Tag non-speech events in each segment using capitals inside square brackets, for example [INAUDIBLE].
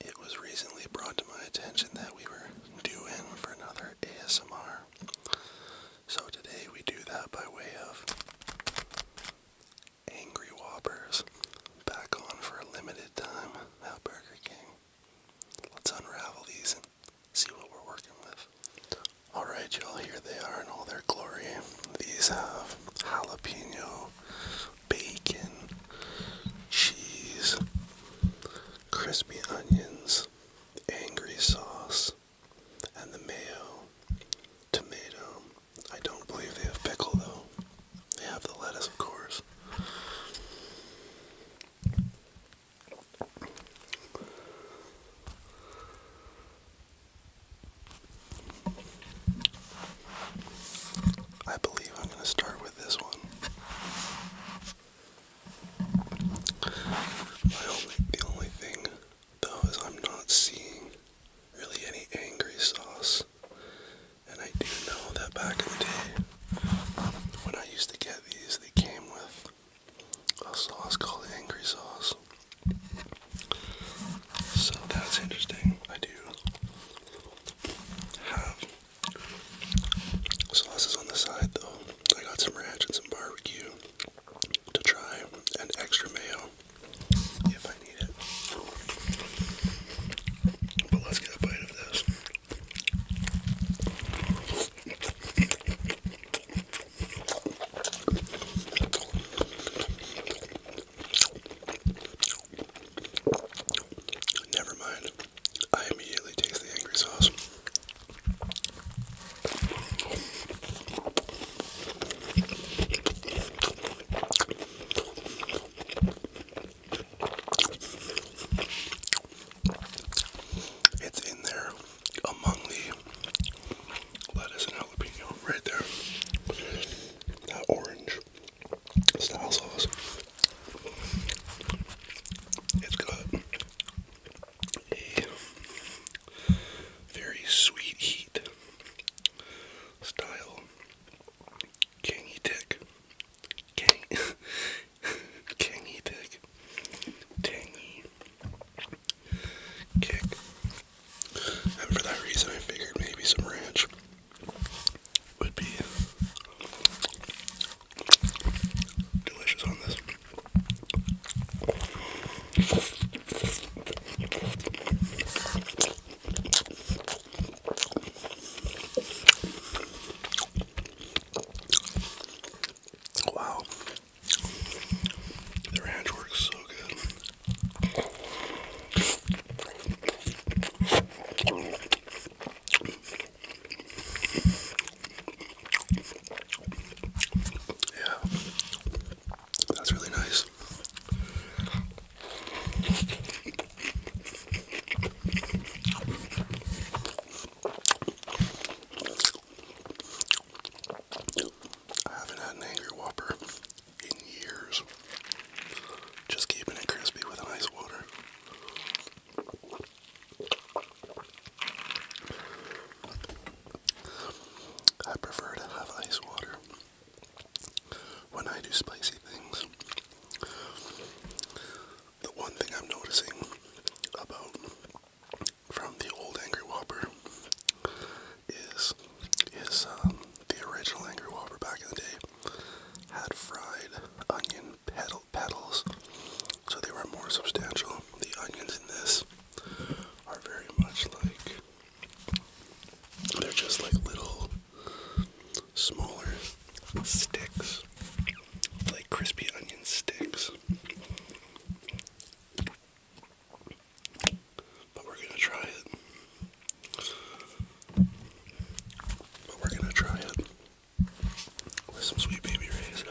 It was recently brought to my attention that we were due in for another ASMR. So today we do that by way of Angry Whoppers back on for a limited time at Burger King. Let's unravel these and see what we're working with. Alright y'all, here they are in all their glory. These have jalapeno bacon, cheese, crispy onions, angry sauce, and the mayo, tomato. I don't believe they have pickle though. They have the lettuce, of course. I believe I'm going to start with this one. the only thing, though, is I'm not seeing really any angry sauce. And I do know that back in the day, when I used to get these, they came with a sauce called angry sauce. So that's interesting. I do have Sauce is on the side though. I got some ranch and some barbecue to try and extra mayo if I need it. But let's get a bite of this. Never mind. I immediately taste the angry sauce. It's in there among the lettuce and jalapeno right there. That orange style sauce. It's got a very sweet heat style cangy tick. Gang [LAUGHS] Kangy Tangy kick. And for that reason I figured maybe some ranch would be delicious on this. Wow. The ranch works so good. Yeah, that's really nice. I haven't had an angry whopper in years. Just keeping it crispy with ice water. I prefer to have ice water when I do spicy things. The one thing I'm noticing about from the old Angry Whopper is is um, the original Angry Whopper back in the day had fried onion petals, so they were more substantial. The onions in this are very much like they're just like little smaller sticks, like crispy onion sticks. But we're gonna try it. But we're gonna try it with some sweet baby rays.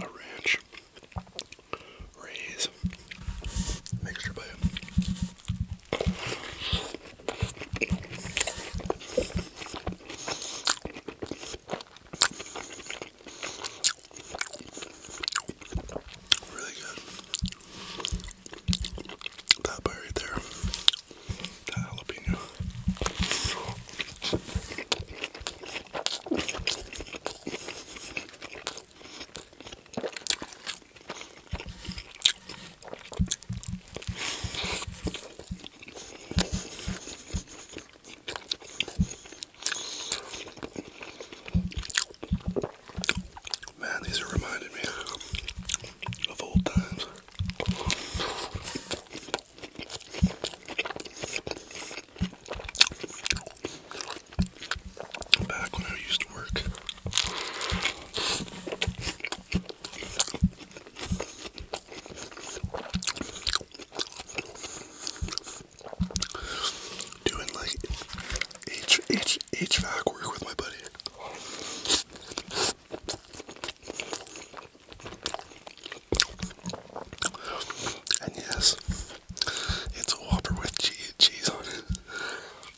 A ranch raise mixture by Really good. That bite right there. That jalapeno. Man, these are reminding me of old times. Back when I used to work Doing like H work with my buddy. And yes, it's a Whopper with cheese on it.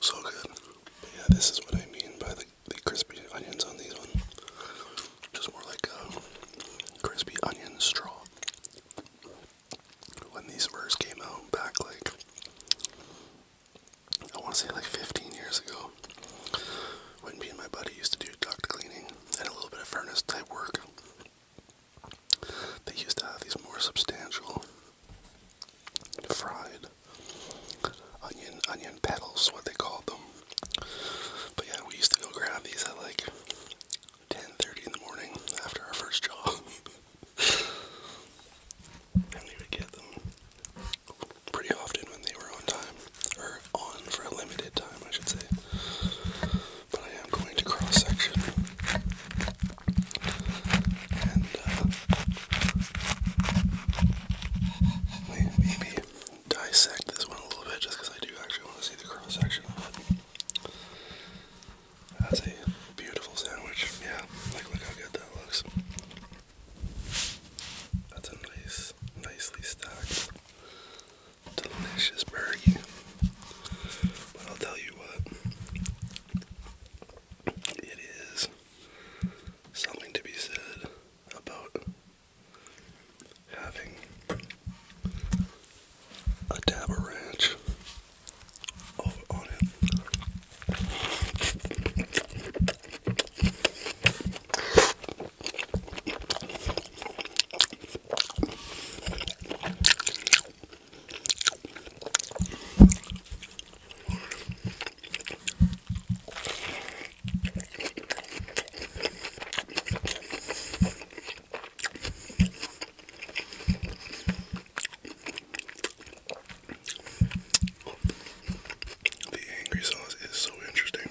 So good. yeah, this is what I mean by the, the crispy onions on these ones. Just more like crispy onion straw. When these first came out back like I want to say like 15 years ago, when me and my buddy used to do duct cleaning and a little bit of furnace type work, they used to have these more substantial fried onion onion petals, what they called them. But yeah, we used to go grab these at like 10:30 in the morning after our first job, [LAUGHS] we would get them pretty often when they were on time or on for a limited time, I should say. But I am going to cross section and uh, maybe dissect this one a little bit just I do actually want to see the cross section That's a beautiful sandwich. Yeah, like look how good that looks. That's a nice, nicely stacked, delicious burger. But I'll tell you what, it is something to be said about having a dab ranch on it. The angry sauce is so interesting.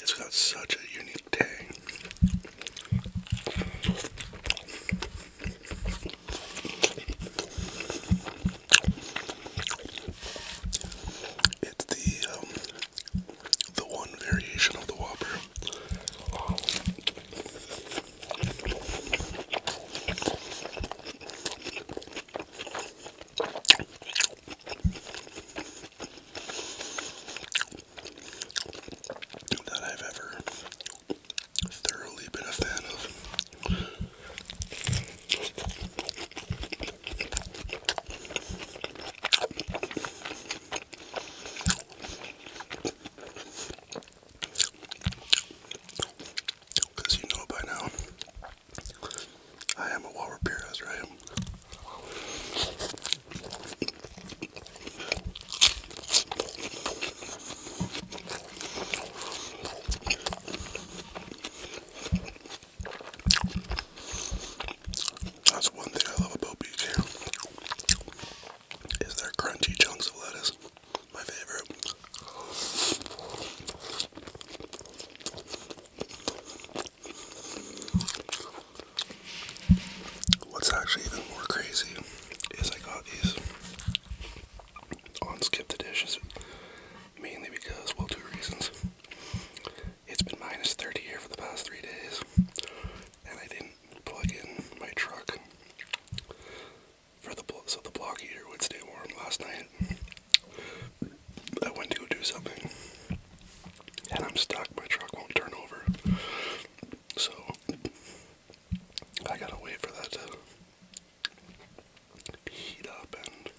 It's got such a unique taste. It's the um, the one variation of the Whopper that I've ever thoroughly been a fan of. Because you know by now, I am a Walter Perez, right? That's one thing I love about BK is there crunchy chunks of lettuce. My favorite. What's actually even more crazy is I got these on Skip the Dishes mainly because, well, two reasons. It's been minus 30 here for the past three days, and I didn't plug in my truck for the so the block heater would stay warm. Last night I went to go do something, and I'm stuck. My truck won't turn over, so I gotta wait for that to heat up and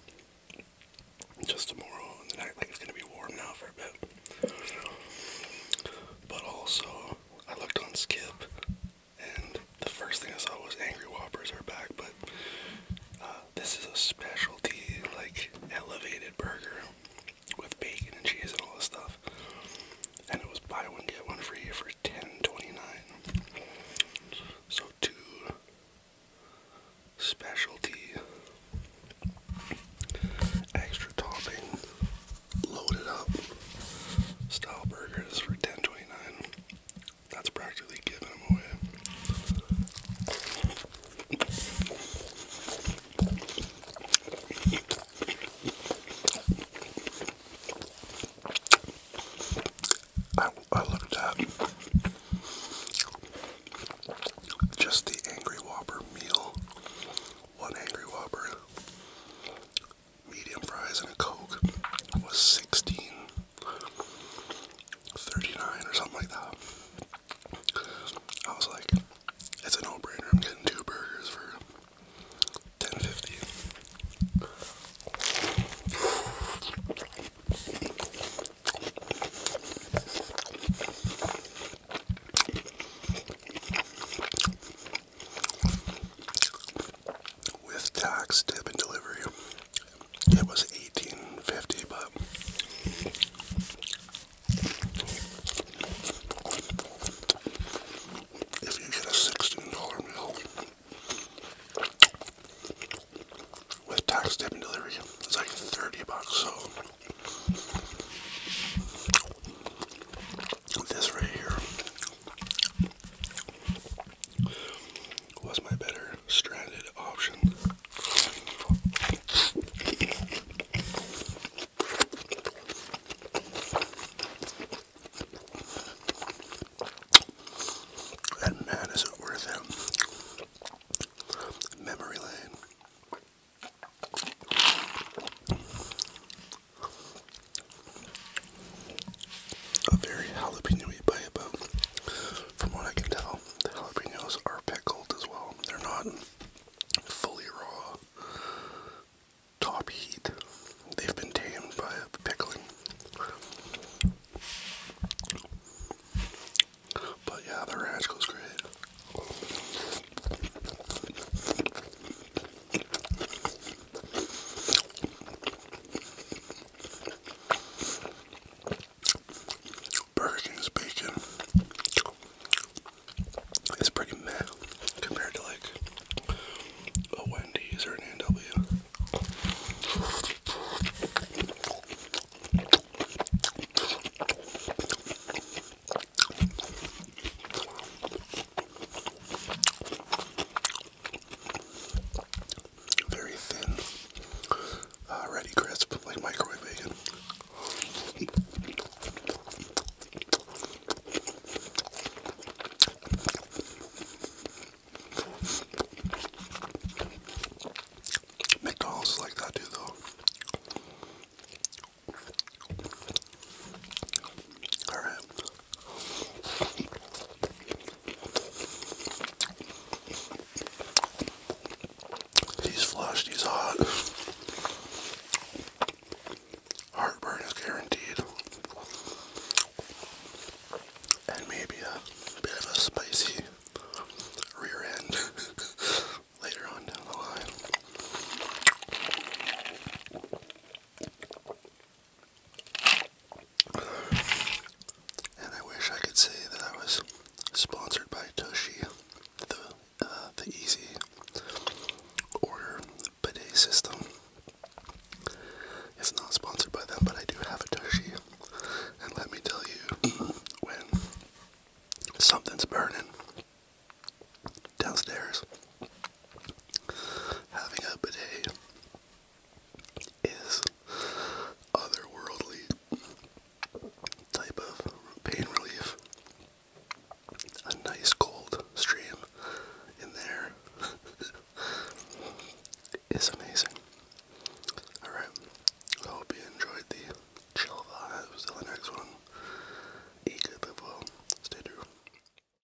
just tomorrow and the night. Like it's gonna be warm now for a bit, but also I looked on Skip and the first thing I saw was Angry Whoppers are back, but uh, this is a specialty, like, elevated burger with bacon and cheese and all this stuff. And it was buy one, get one free for 10 29 So two specialty extra topping loaded up style burgers for 10 That's practically giving them away. I, I looked at just the Angry Whopper meal, one Angry Whopper, medium fries and a Coke was sixteen thirty-nine or something like that. I was like, it's a no-brainer. I'm getting two burgers for ten fifty. With tax, tip, and delivery, it was eighteen fifty, but if you get a sixteen dollar meal with tax, tip, and delivery, it's like thirty bucks. So. This right here was my better stranded option. And man, is it worth it? Memory lane a very jalapeno-y bite, but from what I can tell, the jalapenos are pickled as well. They're not fully raw, top heat. They've been tamed by pickling. But yeah, the ranch goes great. Burger King's bacon is pretty meh compared to like a Wendy's or an NW. Very thin, uh, ready crisp, like microwave bacon. McDonald's like that too, though. All right. He's flushed, he's hot. Heartburn is guaranteed. And maybe a bit of a spicy rear end [LAUGHS] later on down the line. And I wish I could say that I was sponsored by Toshi, the uh, the easy order bidet system. It's not sponsored by them, but I do have a Toshi, and let me tell you, [CLEARS THROAT] when something's burning downstairs, Having a bidet is otherworldly type of pain relief. A nice cold stream in there [LAUGHS] is amazing. Alright, I hope you enjoyed the chill vibes the next one. Eat good, live stay true.